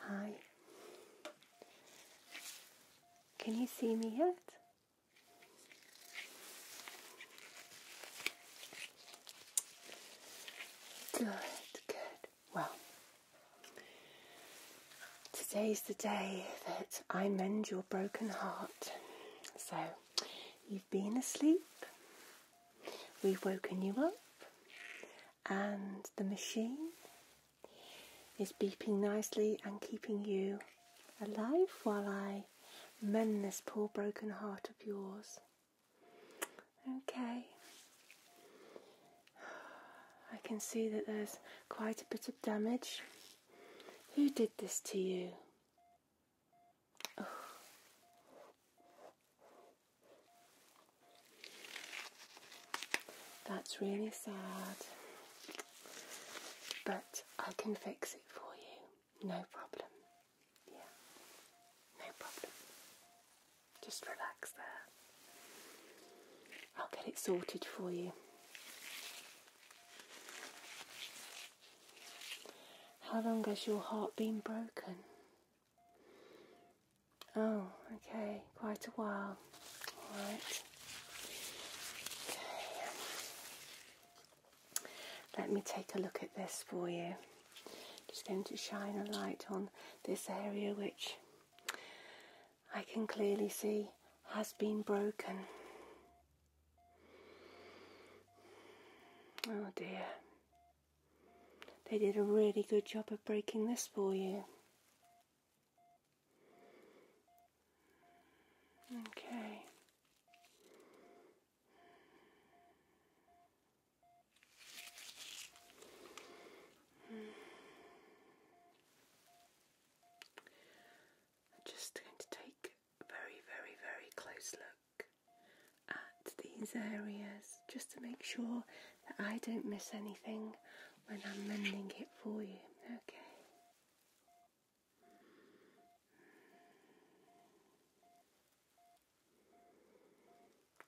Hi. Can you see me yet? Good, good. Well, today's the day that I mend your broken heart. So, you've been asleep, we've woken you up, and the machine is beeping nicely and keeping you alive while I Mend this poor broken heart of yours. Okay. I can see that there's quite a bit of damage. Who did this to you? That's really sad. But I can fix it for you. No problem. Yeah. No problem. Just relax there. I'll get it sorted for you. How long has your heart been broken? Oh, okay, quite a while. Alright. Okay. Let me take a look at this for you. Just going to shine a light on this area which I can clearly see has been broken. Oh dear. They did a really good job of breaking this for you. Okay. I'm just going to take a very, very, very close look at these areas just to make sure that I don't miss anything when I'm mending it for you. Okay.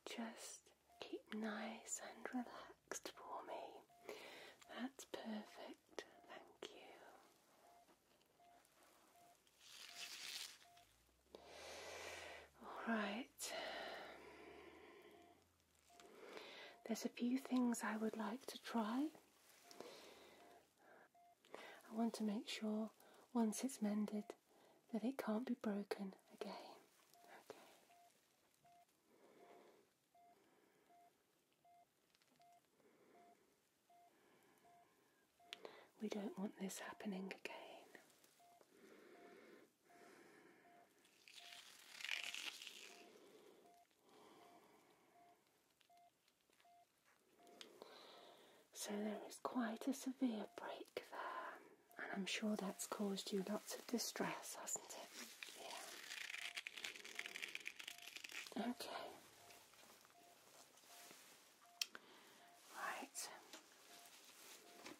Just keep nice and relaxed for me. That's perfect. Thank you. All right. There's a few things I would like to try. I want to make sure once it's mended that it can't be broken again. We don't want this happening again. So there is quite a severe break there, and I'm sure that's caused you lots of distress, hasn't it? Yeah. Okay.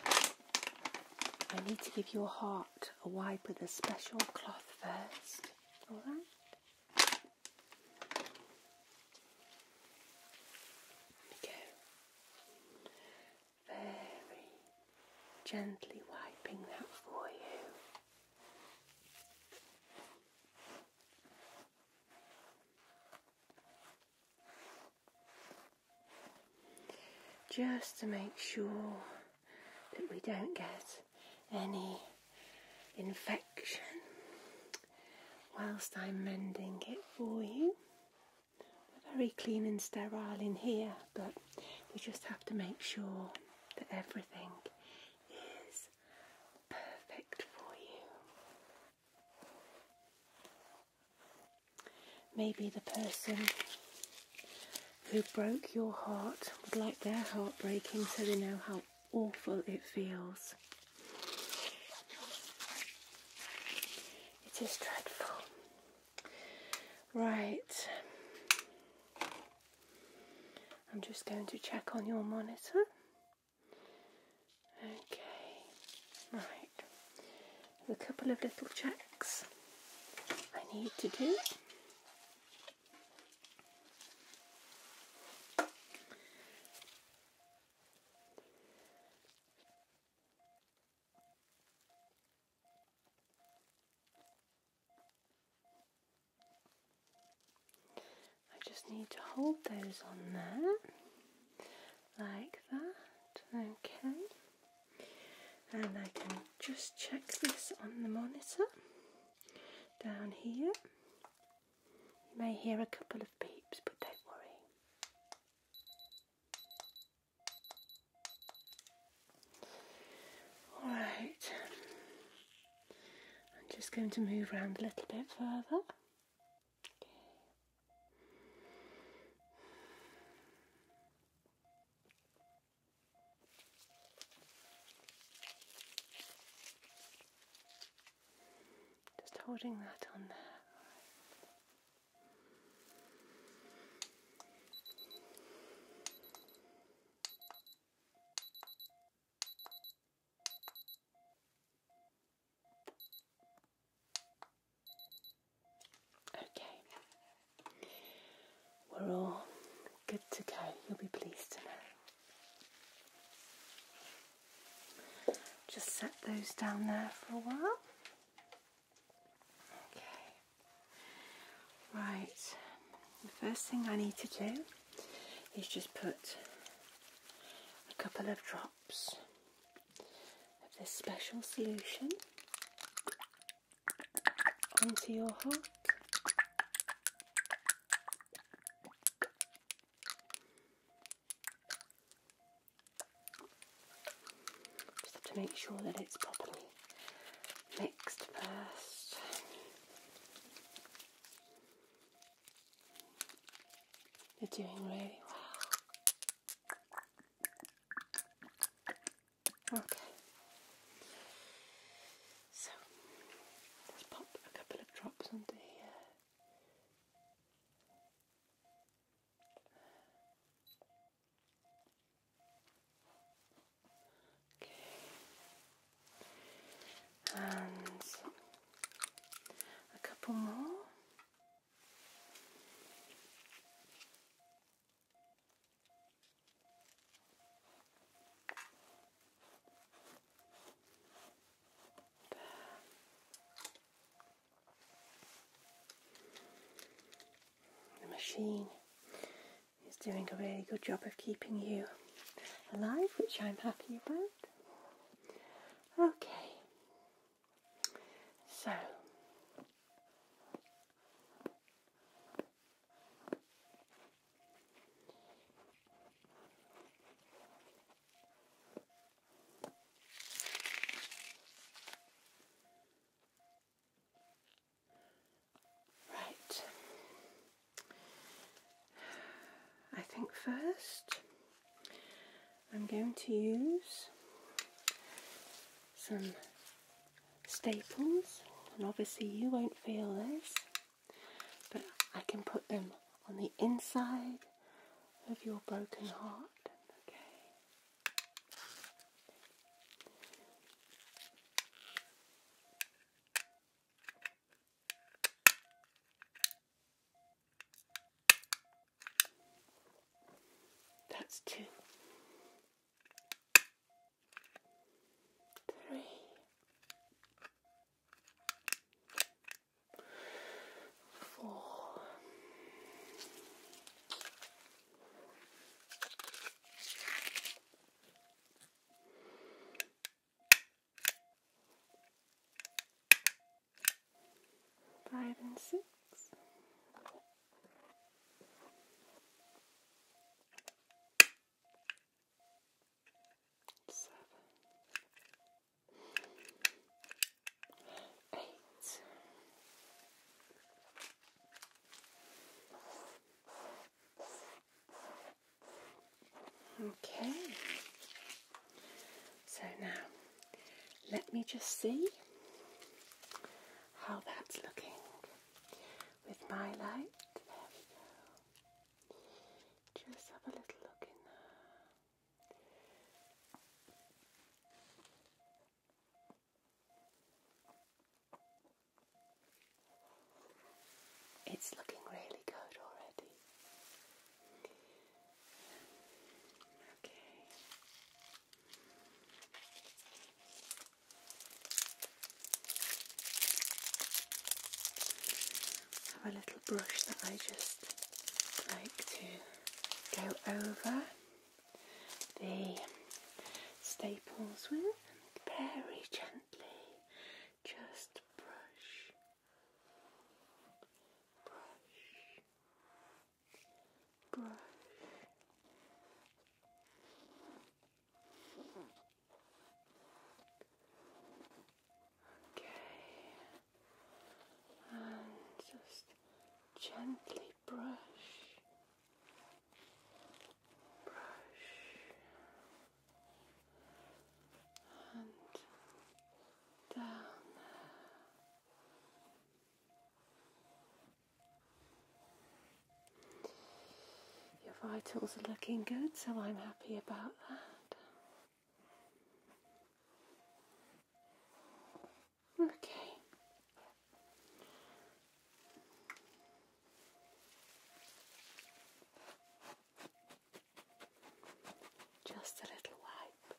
Right. I need to give your heart a wipe with a special cloth first. Alright? Very gently wiping that for you. Just to make sure that we don't get any infection whilst I'm mending it for you. We're very clean and sterile in here, but we just have to make sure that everything is perfect for you. Maybe the person who broke your heart would like their heart breaking so they know how awful it feels. It is dreadful. Right. I'm just going to check on your monitor. Okay. Right. A couple of little checks I need to do. I just need to hold those on there like that, okay. And I can just check this on the monitor down here. You may hear a couple of beeps, but don't worry. Alright, I'm just going to move around a little bit further. Just holding that on there. Okay, we're all good to go, you'll be pleased to know. Just set those down there for a while. Okay. Right, the first thing I need to do is just put a couple of drops of this special solution into your heart. Just have to make sure that it's properly mixed first. You're doing really well. Okay. So let's pop a couple of drops onto here. Okay. And a couple more. The machine is doing a really good job of keeping you alive, which I'm happy about. Okay, so Right. I think first I'm going to use some staples, and obviously you won't feel this, but I can put them on the inside of your broken heart. Okay. That's two three. and six seven, eight, okay. So now let me just see how that's looking with my light. There we go. Just have a little look in there. It's looking really good already. Okay have a little brush that I just like to go over the staples with very gently just brush brush brush Okay, and just gently brush, brush, and down there. Your vitals are looking good, so I'm happy about that. Okay. Just a little wipe.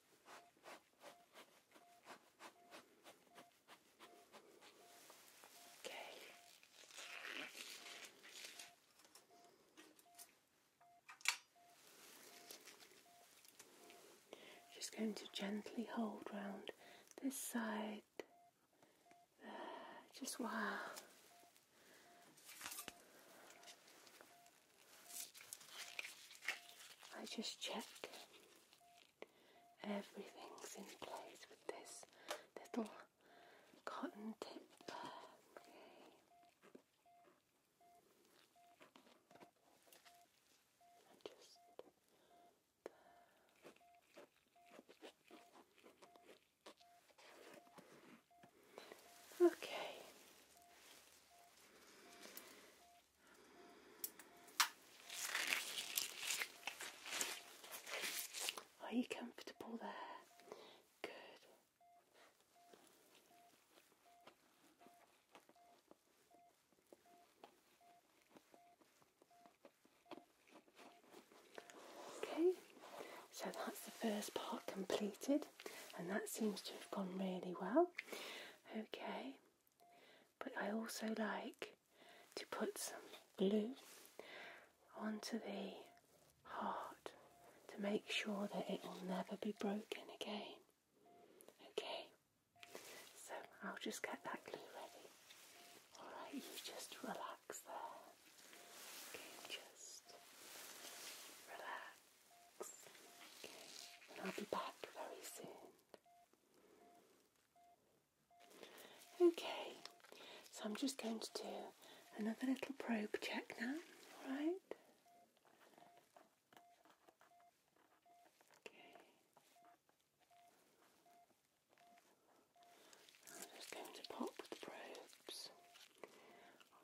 Just going to gently hold round this side. Just while I just check Everything's in place with this little cotton tip. Okay. Okay. Are you comfortable there? Good. Okay, so that's the first part completed, and that seems to have gone really well. Okay, but I also like to put some glue onto the heart to make sure that it will never be broken again. Okay, so I'll just get that glue ready. Alright, you just relax there. Okay, just relax. Okay, and I'll be back very soon. Okay, so I'm just going to do another little probe check now, alright? Okay. I'm just going to pop the probes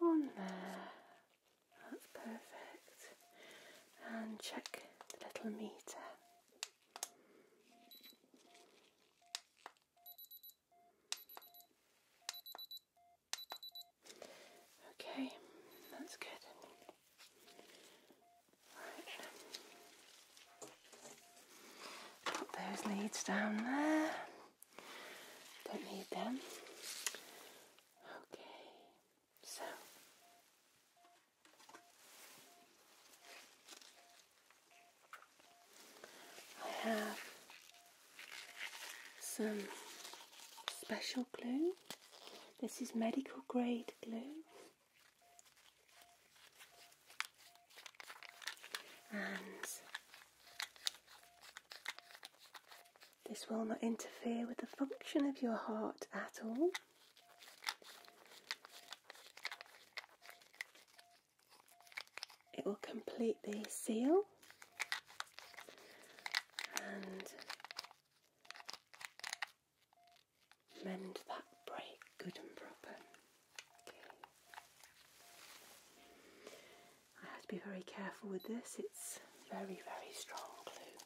on there. That's perfect. And check the little meter. Okay, that's good. Right. Put those leads down there. Don't need them. Okay. So I have some special glue. This is medical grade glue. And this will not interfere with the function of your heart at all. It will complete the seal and mend that break good and proper. I have to be very careful with this, it's very, very strong glue.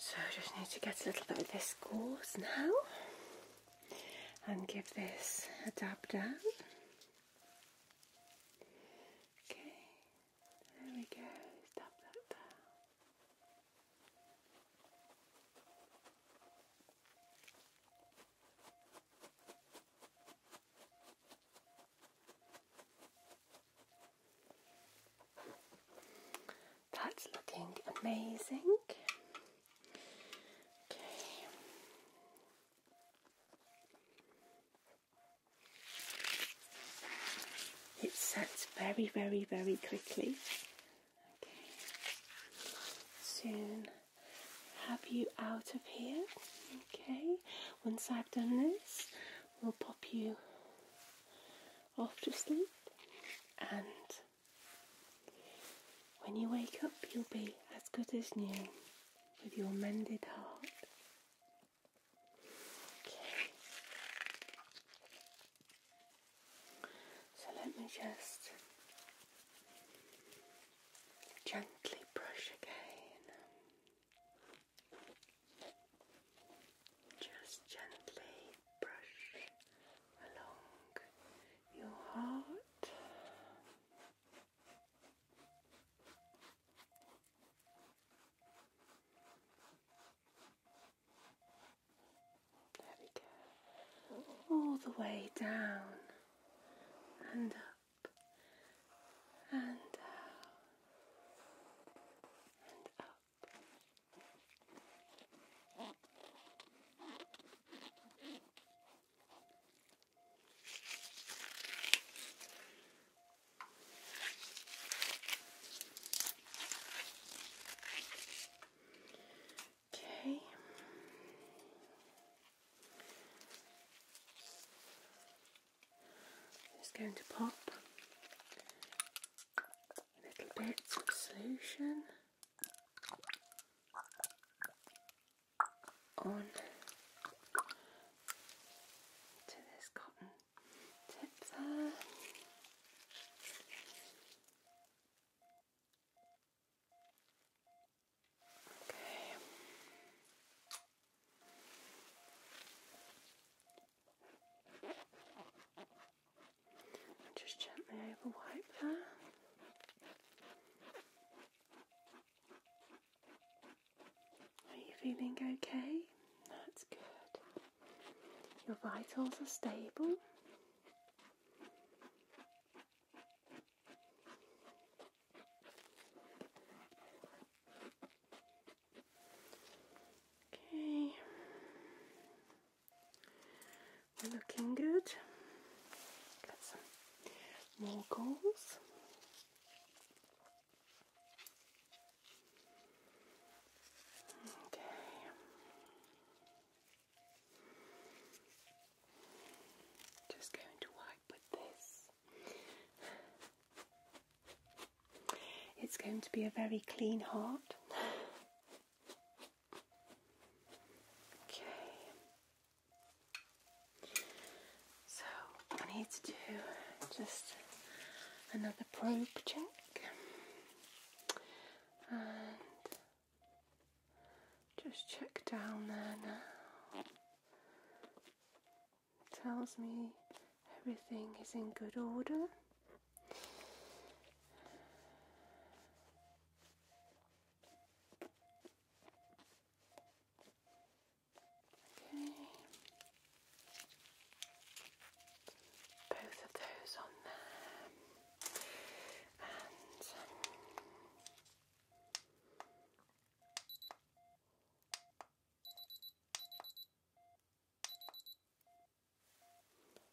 So I just need to get a little bit of this gauze now and give this a dab down. Okay, there we go, dab that down. That's looking amazing. It sets very, very, very quickly. Okay. Soon have you out of here. Okay. Once I've done this, we'll pop you off to sleep and when you wake up you'll be as good as new with your mended heart. Okay. So let me just gently brush again. Just gently brush along your heart. There we go. All the way down and up and down and up. Okay. Just going to pop a little bit of solution on to this cotton just gently over wipe there. Are you feeling okay? That's good. Your vitals are stable. Okay, we're looking good. Got some more goals. Okay. Just going to wipe with this. It's going to be a very clean heart. Okay. So I need to do just another probe check and just check down there now. tells me everything is in good order. Okay both of those on there,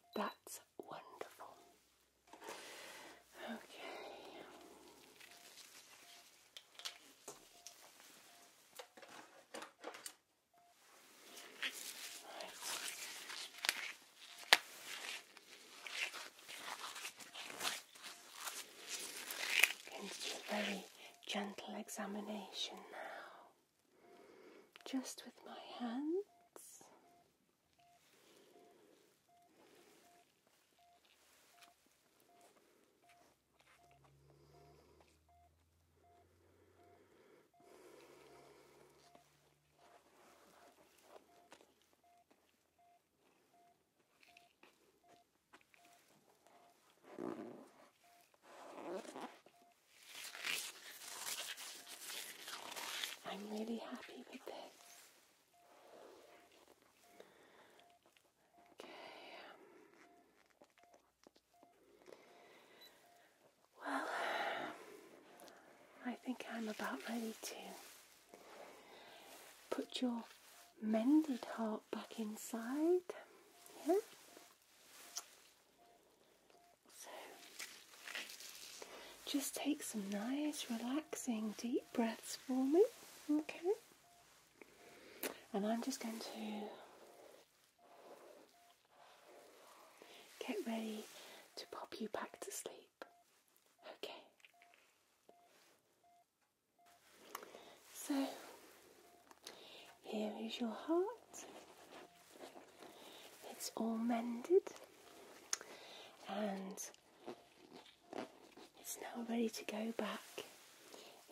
and that's wonderful. Okay a very gentle examination now, just with my hands. I'm really happy with this. Okay. Um, well, I think I'm about ready to put your mended heart back inside. So, just take some nice, relaxing, deep breaths for me. Okay? And I'm just going to Get ready to pop you back to sleep. Okay. So, here is your heart. It's all mended and it's now ready to go back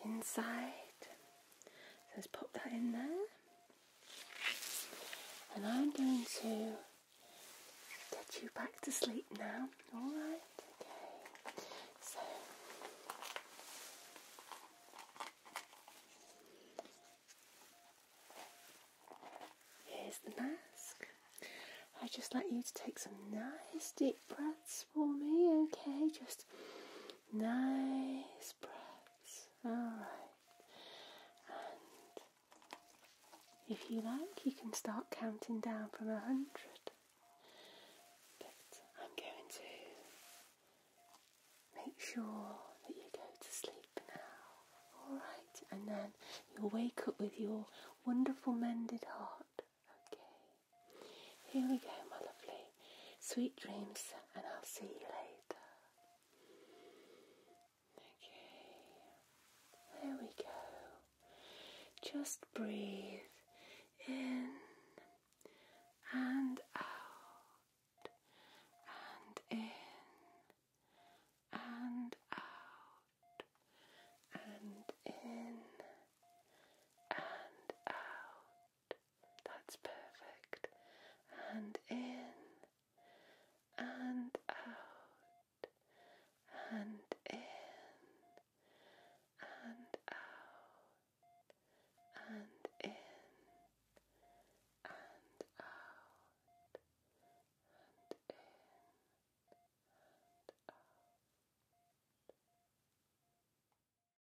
inside. So let's pop that in there. And I'm going to get you back to sleep now. Alright, okay. So here's the mask. I just like you to take some nice deep breaths for me, okay? Just nice those Alright. And if you like, you can start counting down from a hundred. But I'm going to make sure that you go to sleep now. Alright. And then you'll wake up with your wonderful mended heart. Okay. Here we go, my lovely. Sweet dreams, and I'll see you later. Okay, there we go. Just breathe in and out, and in and out, and in and out. That's perfect. And in and out and in and out and in and out and in and out.